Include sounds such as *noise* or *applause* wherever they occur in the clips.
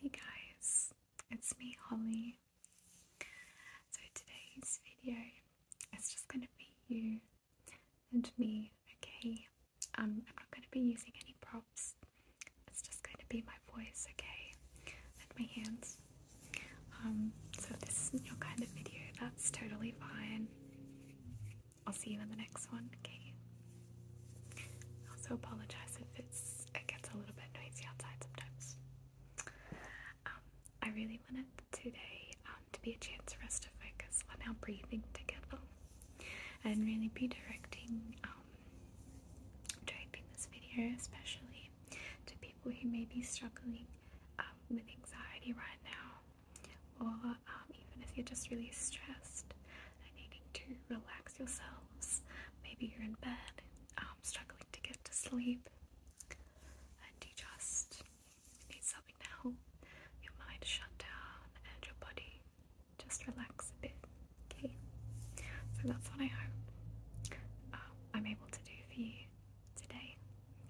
Hey guys, it's me Holly. So today's video is just going to be you and me, okay? Um, I'm not going to be using any props. It's just going to be my voice, okay? And my hands. Um, so this isn't your kind of video, that's totally fine. I'll see you in the next one, okay? I also apologize if it's it gets a little bit noisy outside sometimes. Um, I really wanted today um, to be a chance for us to focus on our breathing together and really be directing, um, directing this video especially to people who may be struggling with anxiety right now, or even if you're just really stressed and needing to relax yourself Maybe you're in bed, um, struggling to get to sleep, and you just need something now. your mind shut down and your body just relax a bit. Okay, so that's what I hope um, I'm able to do for you today.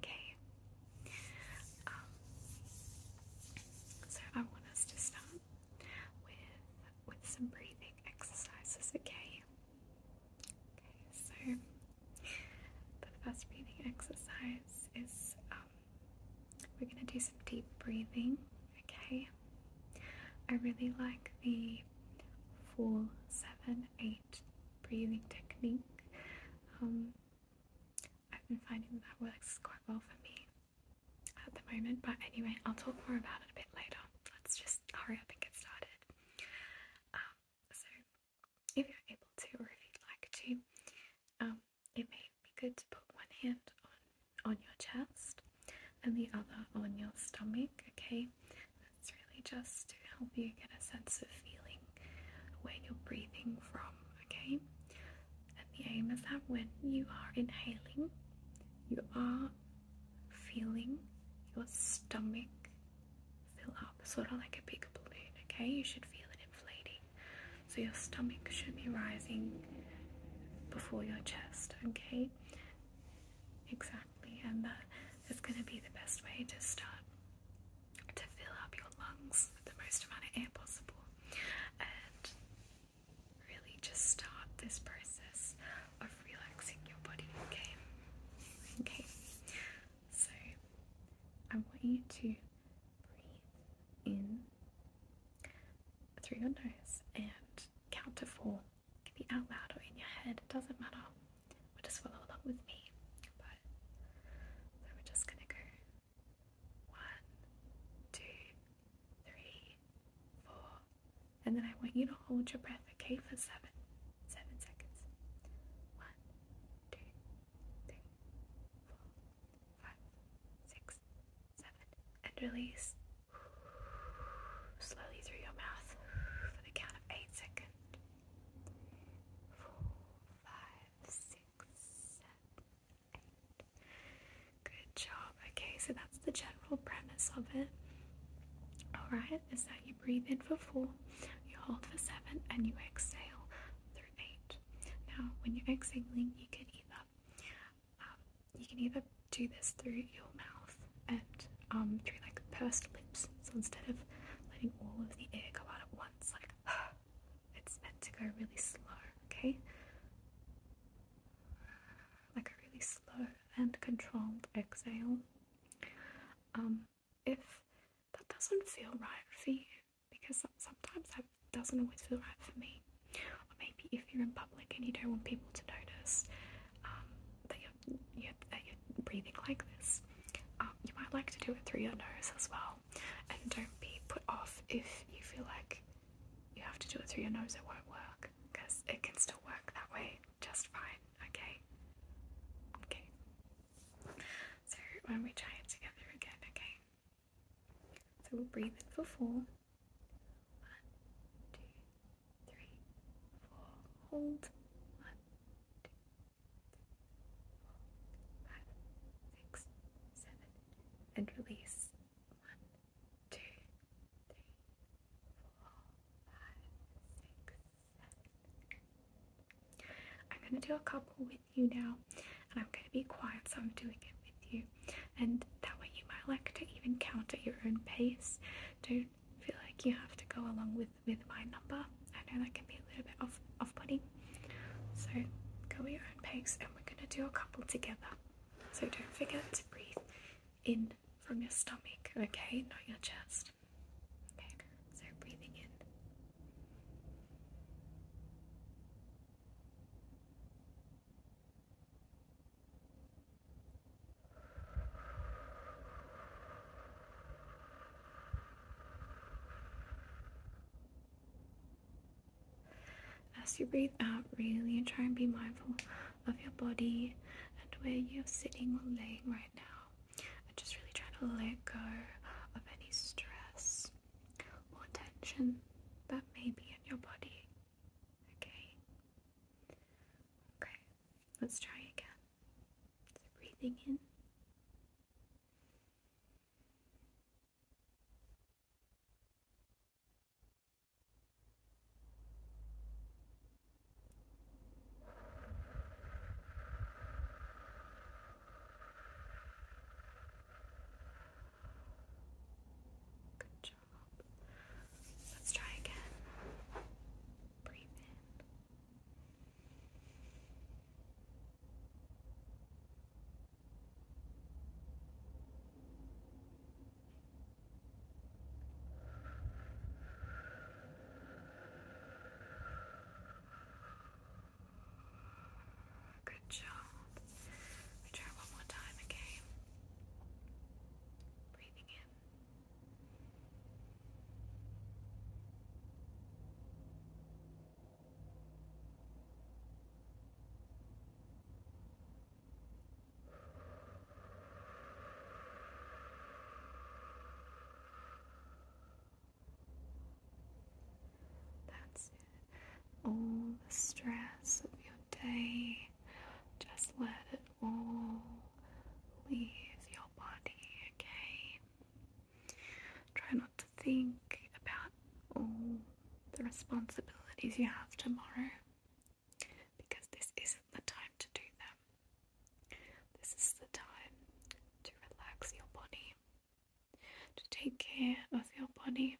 Okay, um, so I want us to start with with some breathing exercises, okay? Okay, so the first breathing exercise is um, we're going to do some deep breathing, okay? I really like the 4 7 8 breathing technique. Um, I've been finding that works quite well for me at the moment, but anyway, I'll talk more about it a bit later. Let's just hurry up and get started. Um, so, if you're able to, or if you'd like to, um, it may be good to put one hand on, on your chest and the other on your stomach, okay? That's really just to help you get a sense of feeling where you're breathing from, okay? And the aim is that when you are inhaling, you are feeling your stomach fill up, sort of like a big balloon, okay? You should feel it inflating. So your stomach should be rising before your chest, okay? Exactly, and that is going to be the best way to start to fill up your lungs with the most amount of air possible. And really just start this process of relaxing your body, okay? Okay, so I want you to breathe in through your nose and count to four. It can be out loud or in your head, it doesn't matter. We'll just follow along with me. But we're just gonna go one, two, three, four. And then I want you to hold your breath, okay, for seven. Seven seconds. One, two, three, four, five, six, seven. And release slowly through your mouth for the count of eight seconds. Four, five, six, seven, eight. Good job. Okay, so that's the general premise of it. Alright, is that you breathe in for four, you hold for seven, and you exhale through eight. Now, when you're exhaling, you can either um, you can either do this through your mouth and um, through like pursed lips. So instead of letting all of the air go out at once, like it's meant to go really slow, okay? Like a really slow and controlled exhale. Um, if that doesn't feel right for you, because sometimes that doesn't always feel right for me, or maybe if you're in public and you don't want people to notice um, that, you're, breathing like this, um, you might like to do it through your nose as well. And don't be put off if you feel like you have to do it through your nose, it won't work because it can still work that way just fine, okay? Okay. So when we try it together again, okay? So we breathe in for four. One, Hold. One, two, three, four, five, six, seven, and release. One, two, three, four, five, six, seven. I'm going to do a couple with you now, and I'm going to be quiet, so I'm doing it with you. And that way, you might like to even count at your own pace. Don't feel like you have to go along with with my number. I know that can be a little bit off off putting, so go at your own pace and we're going to do a couple together. So don't forget to breathe in from your stomach, okay? Not your chest. Okay, so breathing in. As you breathe out, really and try and be mindful of your body and where you're sitting or laying right now. And just really trying to let go of any stress or tension that may be in your body. Okay? Okay, let's try again. So breathing in. Good job. Let's try again. Breathe in. Good job. Return one more time, okay? Breathing in. That's it. All the stress of your day, just let it all leave your body, okay? to think about all the responsibilities you have tomorrow because this isn't the time to do them. This is the time to relax your body, to take care of your body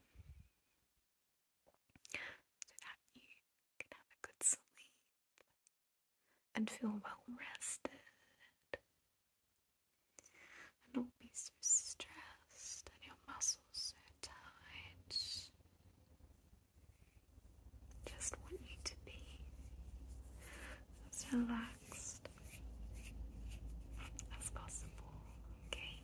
so that you can have a good sleep and feel well rested and not be so stressed and your muscles so tight. Just want you to be as relaxed as possible, okay?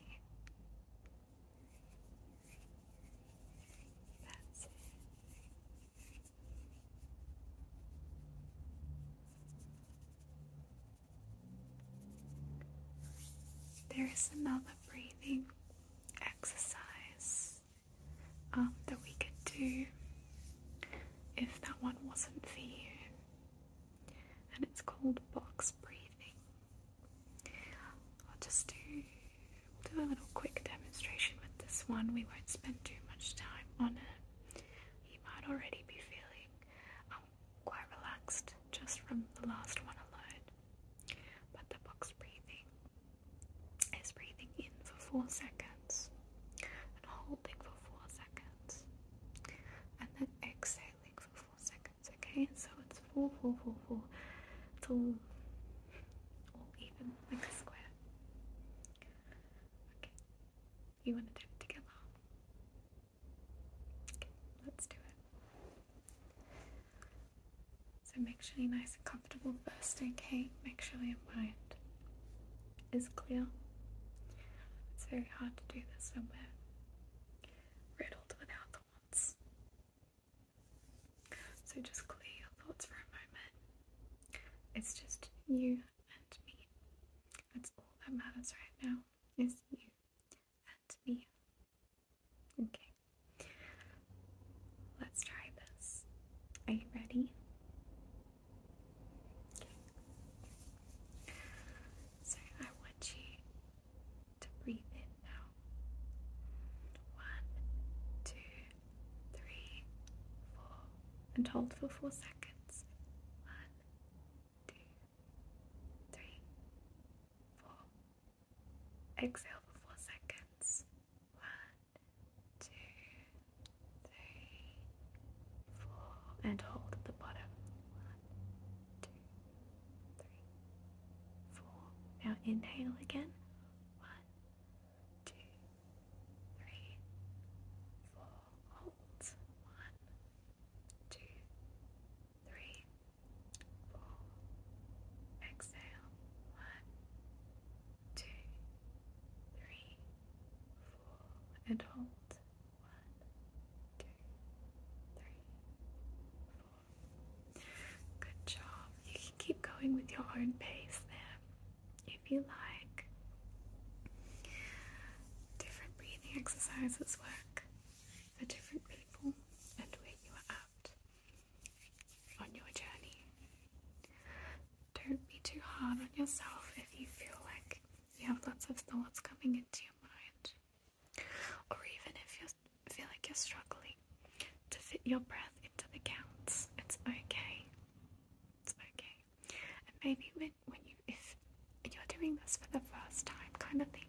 That's it. There is another breathing exercise um, that we could do if that one wasn't for you, and it's called box breathing. I'll just we'll do a little quick demonstration with this one. We won't spend too much time on it. You might already be feeling I'm quite relaxed just from the last one I learned, But the box breathing is breathing in for four seconds and holding for four seconds and then exhaling for four seconds. Okay, so it's four, four, four, four. It's all, all even like a square. Okay, we want to do it together? Okay, let's do it. So make sure you're nice and comfortable first, okay? Make sure your mind is clear. It's very hard to do this somewhere riddled without thoughts. So just clear your thoughts for a moment. It's just you and me. That's all that matters right now is you and me. Okay. Let's try this. Are you ready? Okay. So I want you to breathe in now. One, two, three, four, and hold for four seconds. One, two, three, four. Exhale for four seconds. One, two, three, four, and hold at the bottom. One, two, three, four. Now inhale again. One, two, three, four. Hold. One, two, three, four. Exhale. One, two, three, four. And hold. One, two, three, four. Good job. You can keep going with your own pace there if you like. Different breathing exercises work for different people and where you are at on your journey. Don't be too hard on yourself if you feel like you have lots of thoughts coming into your mind, or even if you feel like you're struggling to fit your breath into the counts. It's okay. It's okay. And maybe when when you if you're doing this for the first time kind of thing.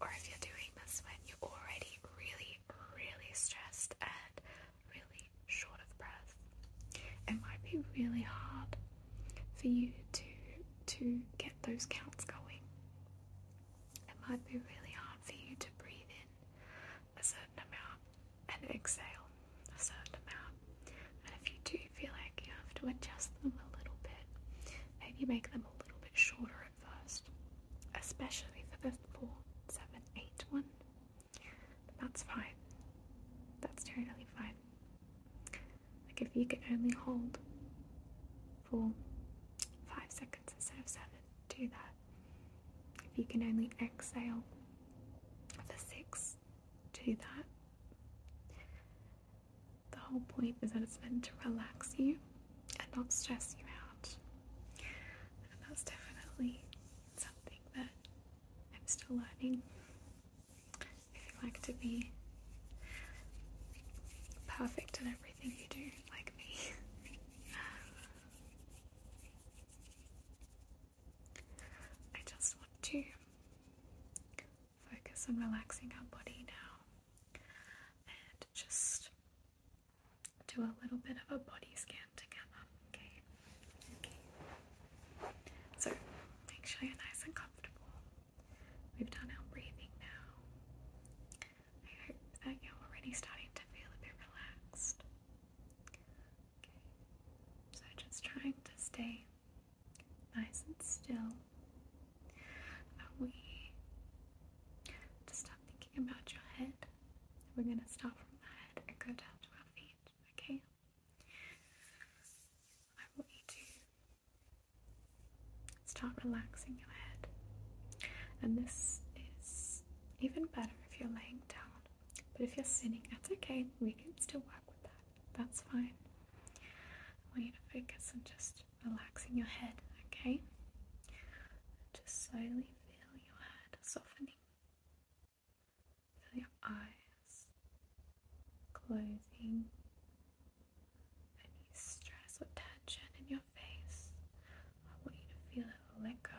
Or if you're doing this when you're already really, really stressed and really short of breath. It might be really hard for you to to get those counts going. It might be really hard for you to breathe in a certain amount and exhale a certain amount. And if you do feel like you have to adjust them a little bit, maybe make them a little bit shorter at first, especially for the 4, 7, 8 one. that's fine. That's totally fine. Like if you can only hold for 5 seconds instead of 7, do that. If you can only exhale for 6, to that. The whole point is that it's meant to relax you and not stress you out. And that's definitely something that I'm still learning. If you like to be perfect in everything you do, like me. *laughs* I just want to focus on relaxing our body now and just do a little bit of a body scan together, okay? Okay. So make sure you're nice and comfortable. We've done our breathing now. I hope that you're already starting to feel a bit relaxed. So just trying to stay nice and still. Are we to stop thinking about your head? We're gonna start from the head and go down to our feet, okay? I want you to start relaxing your head. And this is even better if you're laying down. But if you're sitting, that's okay. We can still work with that. That's fine. I want you to focus on just relaxing your head, okay? Just slowly feel your head softening. Feel your eyes closing. Any stress or tension in your face, I want you to feel it let go.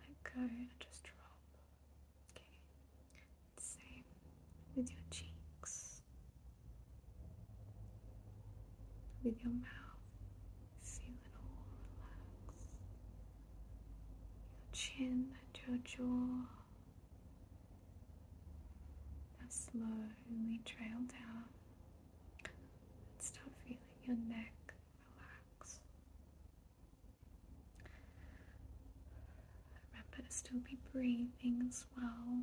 Let go and just drop. Okay. Same with your cheeks, with your mouth. Feel it all relax. Your chin and your jaw. Now slowly trail down and start feeling your neck relax. Remember to still be breathing as well.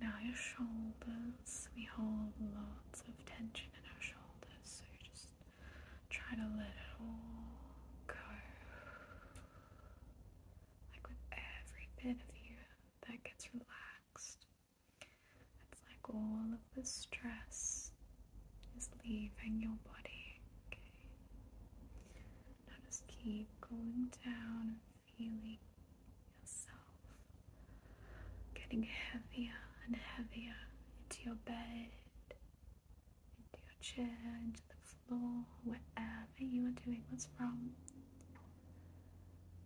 Now, your shoulders, we hold lots of tension in our shoulders, so just try to let it all go. Like with every bit of you that gets relaxed, it's like all of the stress is leaving your body. Okay. Now just keep going down and feeling yourself getting heavier and heavier into your bed, into your chair, into the floor, wherever you are doing what's wrong.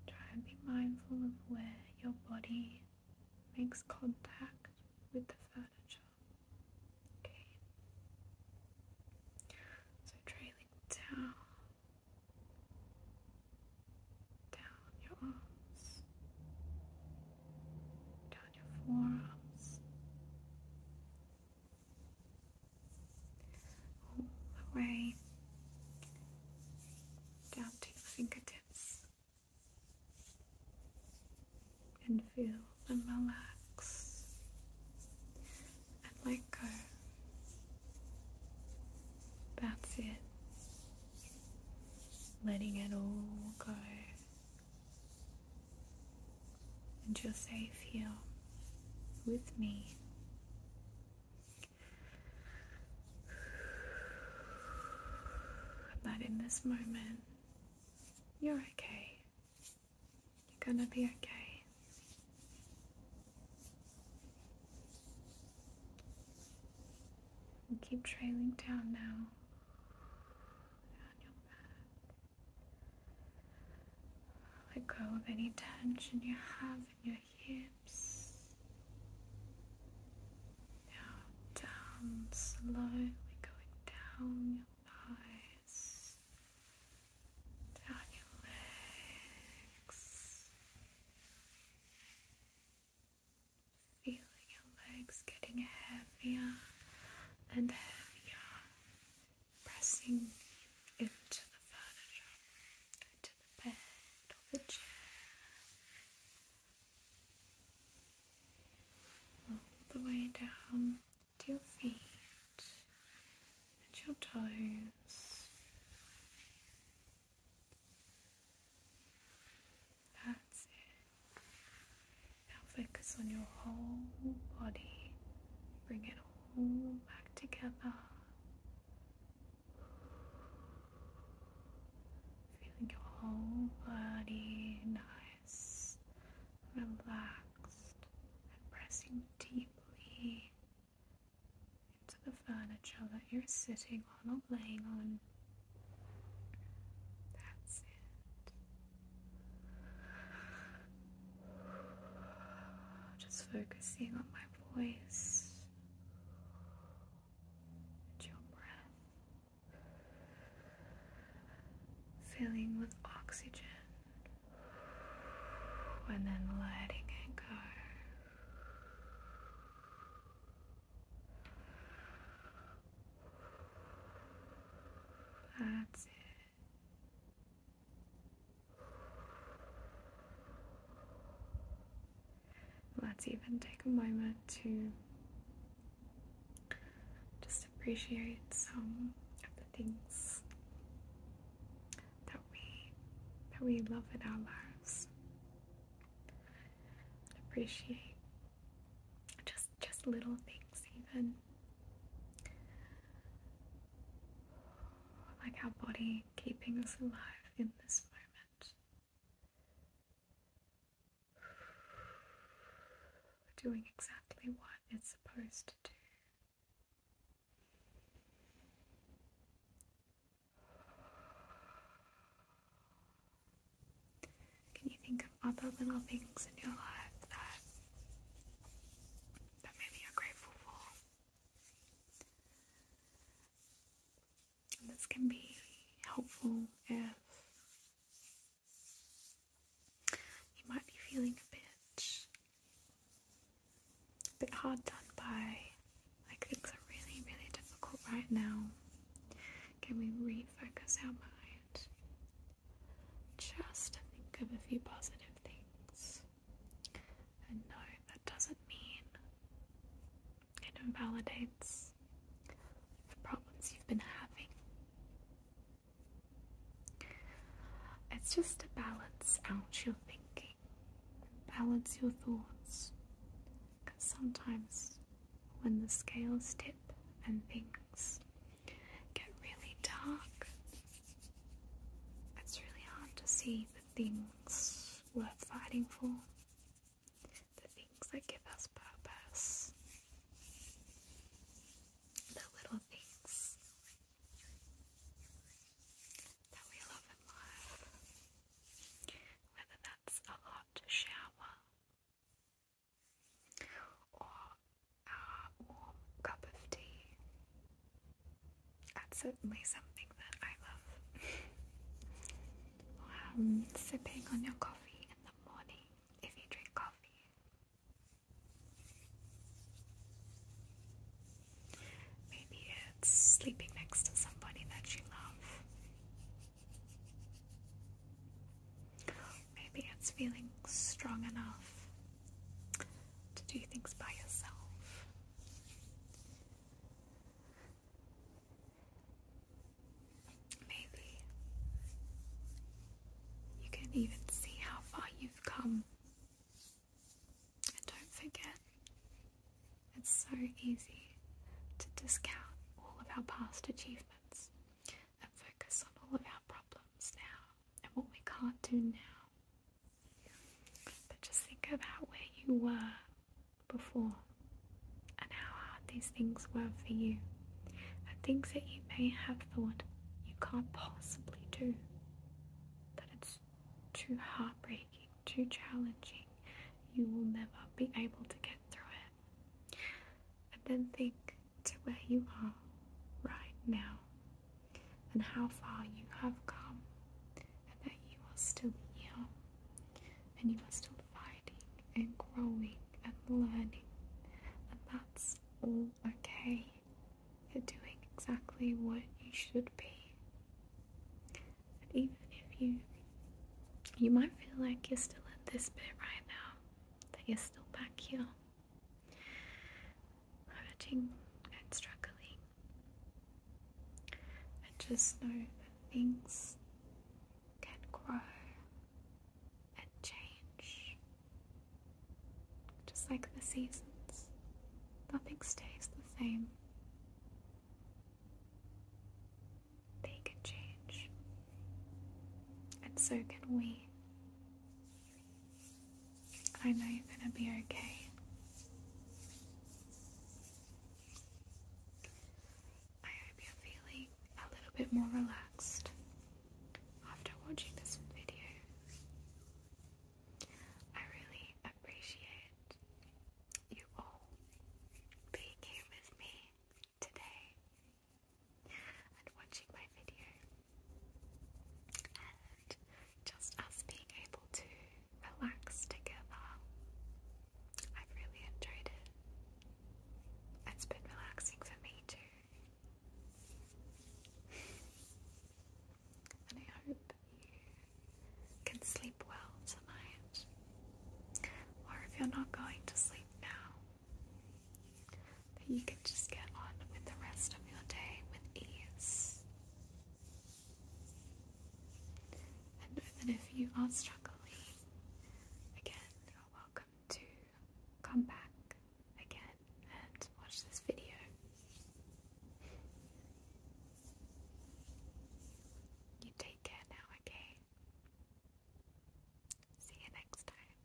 Try and be mindful of where your body makes contact with the furniture. Okay. So trailing down, down your arms, down your forearms, all the way down to your fingertips and feel them relax and let go. That's it. Letting it all go. And you're safe here with me that in this moment, you're okay. You're gonna be okay. And keep trailing down now. Down your back. Let go of any tension you have in your hips. Now down slowly going down your thighs, down your legs. Feeling your legs getting heavier and heavier, pressing into the furniture, the bed or the chair, all the way down to your feet and your toes. That's it. Now focus on your whole body. Bring it all back together. Feeling your whole body nice, relaxed, and pressing deeply into the furniture that you're sitting on or laying on. That's it. Just focusing on my voice your breath, filling with oxygen, and then letting it go. That's it. Let's even take a moment to just appreciate some of the things that we that we love in our lives. Appreciate just just little things even like our body keeping us alive in this moment. We're doing exactly what it's supposed to do. Can you think of other little things in your life that that maybe you grateful this can be helpful if you might be feeling a bit a bit hard done by like things are really really difficult right now. Can we refocus our mind just to think of a few positive things? And no, that doesn't mean it invalidates the problems you've been having. It's just to balance out your thinking, balance your thoughts. Because sometimes when the scales tip and things get really dark, it's really hard to see things worth fighting for, the things that give us purpose, the little things that we love in life, whether that's a hot shower or a warm cup of tea. That's certainly something that I love. *laughs* Um, sipping on your coffee in the morning if you drink coffee. Maybe it's sleeping next to somebody that you love. Maybe it's feeling strong enough to do things by yourself. Maybe you can even see how far you've come. And don't forget, it's so easy to discount all of our past achievements and focus on all of our problems now and what we can't do now. But just think about where you were before and how hard these things were for you, and things that you may have thought you can't possibly do, that it's too heartbreaking, too challenging, you will never be able to get through it. And then think to where you are right now and how far you have come, and that you are still here, and you are still fighting and growing and learning, and that's all okay. You're doing exactly what you should be. But even if you you might feel like you're still in this bit right now, that you're still back here hurting and struggling. And just know that things can grow and change. Just like the seasons, nothing stays the same. They can change, and so can we. I know you're going to be okay. I hope you're feeling a little bit more relaxed after watching this video. I really appreciate you all being here with me today and watching my video just us being able to relax together. I've really enjoyed it. It's been relaxing for me too. and I hope you can sleep well tonight. Or if you're not going to sleep now, that you can just get on with the rest of your day with ease. And know if you are struggling, again, you're welcome to come back again and watch this video. You take care now, okay? See you next time.